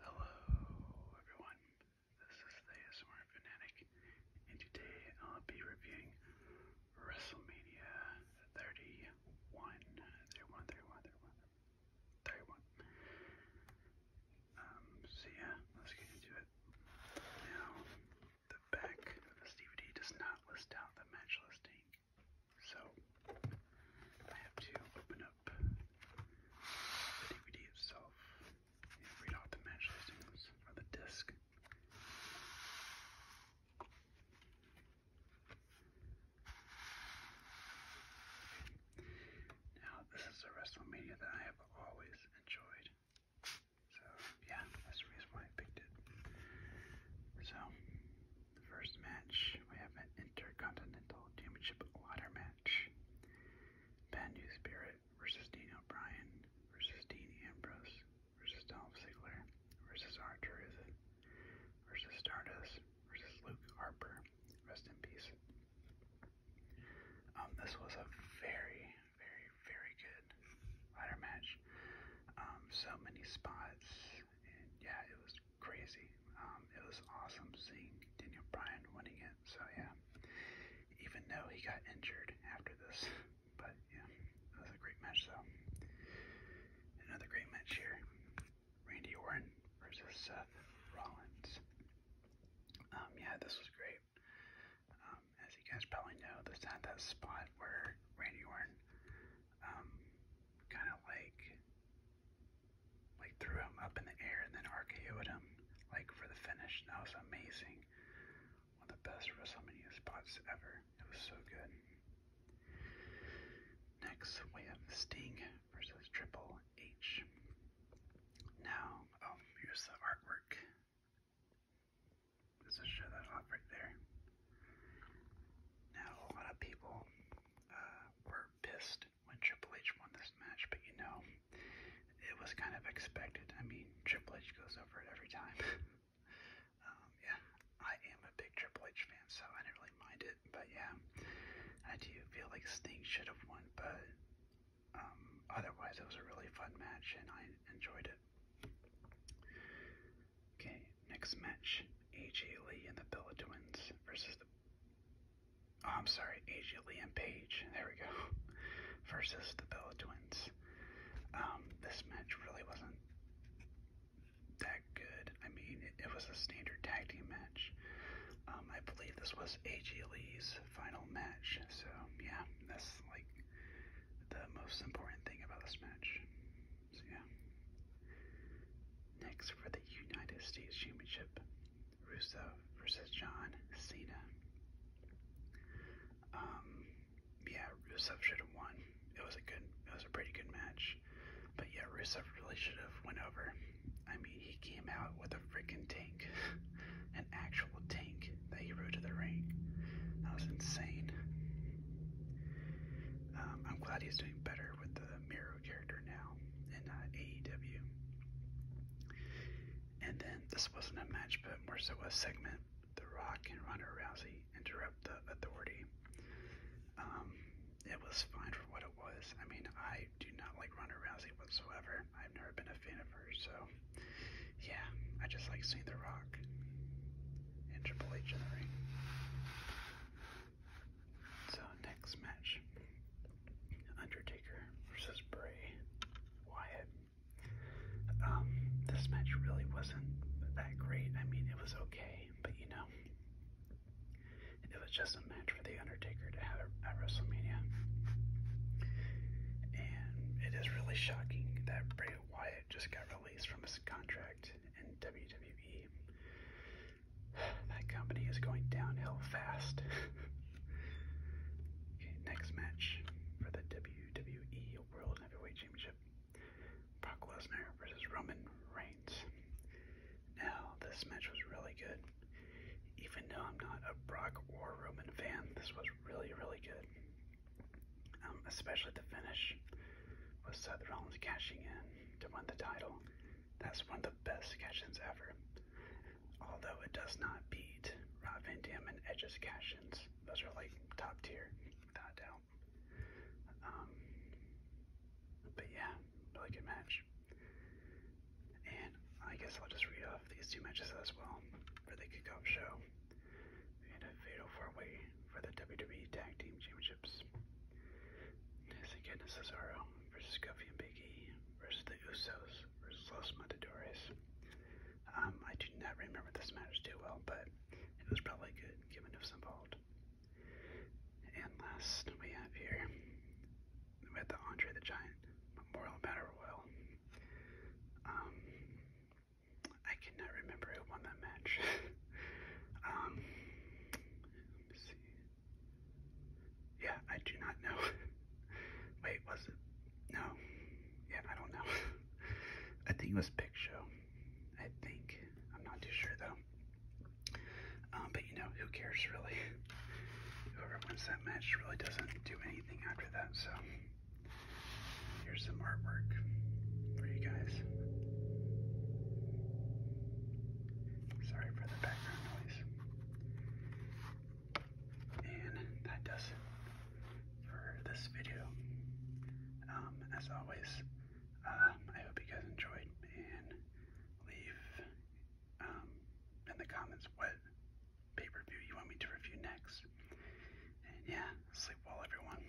Hello everyone, this is the ASMR Fanatic, and today I'll be reviewing WrestleMania 31, 31, 31, 31, 31. Um, so yeah, let's get into it. Now, the back of this DVD does not list out the match listing so I have to open up the DVD itself and read out the match listings on the disc. Now, this is a WrestleMania that I have always enjoyed. So, yeah, that's the reason why I picked it. So, the first match, we have an Intercontinental Championship ladder match. Bad News versus Dean O'Brien versus Dean Ambrose versus Dolph Ziggler versus r versus Stardust versus Luke Harper. Rest in peace. Um, this was a very, very, very good ladder match. Um, so many spots, and yeah, it was crazy. Um, it was awesome seeing Daniel Bryan winning it. So yeah, even though he got injured after this, but yeah, it was a great match though. Another great match here: Randy Orton versus Seth Rollins. Um, yeah, this was great. Um, as you guys probably know, this had that spot where Randy Orton um, kind of like like threw him up in the air and then rko him like for the finish. That was amazing. One of the best WrestleMania spots ever. It was so good. Next we have Sting versus Triple H. Now, um, here's the artwork. Let's show that off right there. Now, a lot of people uh, were pissed when Triple H won this match, but you know, it was kind of expected. I mean, Triple H goes over it every time. Um, yeah, I am a big Triple H fan, so I didn't really mind it. But yeah, I do feel like Sting should have won, but um, otherwise, it was a really fun match and I enjoyed it. Okay, next match AJ Lee and the Bella Twins versus the Oh, I'm sorry, Asia Lee and Paige. There we go. Versus the Bella Twins. Um, this match really wasn't that good. I mean, it, was a standard tag team match. Um, I believe this was AJ Lee's final match. So, yeah, that's like the most important thing about this match. So, yeah. Next, for the United States Championship, Russo versus John Cena. Um, yeah, Russo should have won. It was a good, it was a pretty good match. But yeah, Rusev really should have went over. I mean, he came out with a freaking tank, an actual tank that he rode to the ring. That was insane. Um, I'm glad he's doing better with the Miro character now in uh, AEW. And then this wasn't a match, but more so a segment. The Rock and Ronda Rousey interrupt the Authority. Um, it was fine for what it was. I mean, I do not like Ronda Rousey whatsoever. I've never been a fan of her, so yeah, I just like seeing The Rock and Triple H in the ring. So next match, Undertaker versus Bray Wyatt. Um, this match really wasn't that great. I mean, it was okay, but you know, it was just a match for the Undertaker to have at WrestleMania. And it is really shocking that Bray Wyatt just got released from his contract in WWE that company is going downhill fast. okay, next match for the WWE World Heavyweight Championship. Brock Lesnar versus Roman Reigns. Now, this match was really good. Even though I'm not a Brock or Roman fan, this was really, really good. Um, especially the finish with Seth Rollins cashing in to win the title. That's one of the best sketch ever. Although it does not beat Rob Van Dam and Edge's sketch Those are like top tier, without doubt. Um, but yeah, really good match. And I guess I'll just read off these two matches as well for the kickoff show. We a fatal four-way for the WWE Tag Team Championships. Yes. again, Cesaro versus Kofi and Big E versus the Usos versus Los Matadores. Um, I do not remember this match too well, but it was probably good given who's involved. And last we have here, we had the Andre the Giant Memorial Battle Royal. Um, I cannot remember who won that match. Um, yeah, I do not know. Wait, was it? No. Yeah, I don't know. I think it was Big Show. I think. I'm not too sure though. Um, but you know, who cares really? Whoever wins that match really doesn't do anything after that, so here's some artwork for you guys. Sorry for the background noise. And that does for this video. Um, as always, uh, I hope you guys enjoyed and leave um, in the comments what pay-per-view you want me to review next. And yeah, sleep well everyone.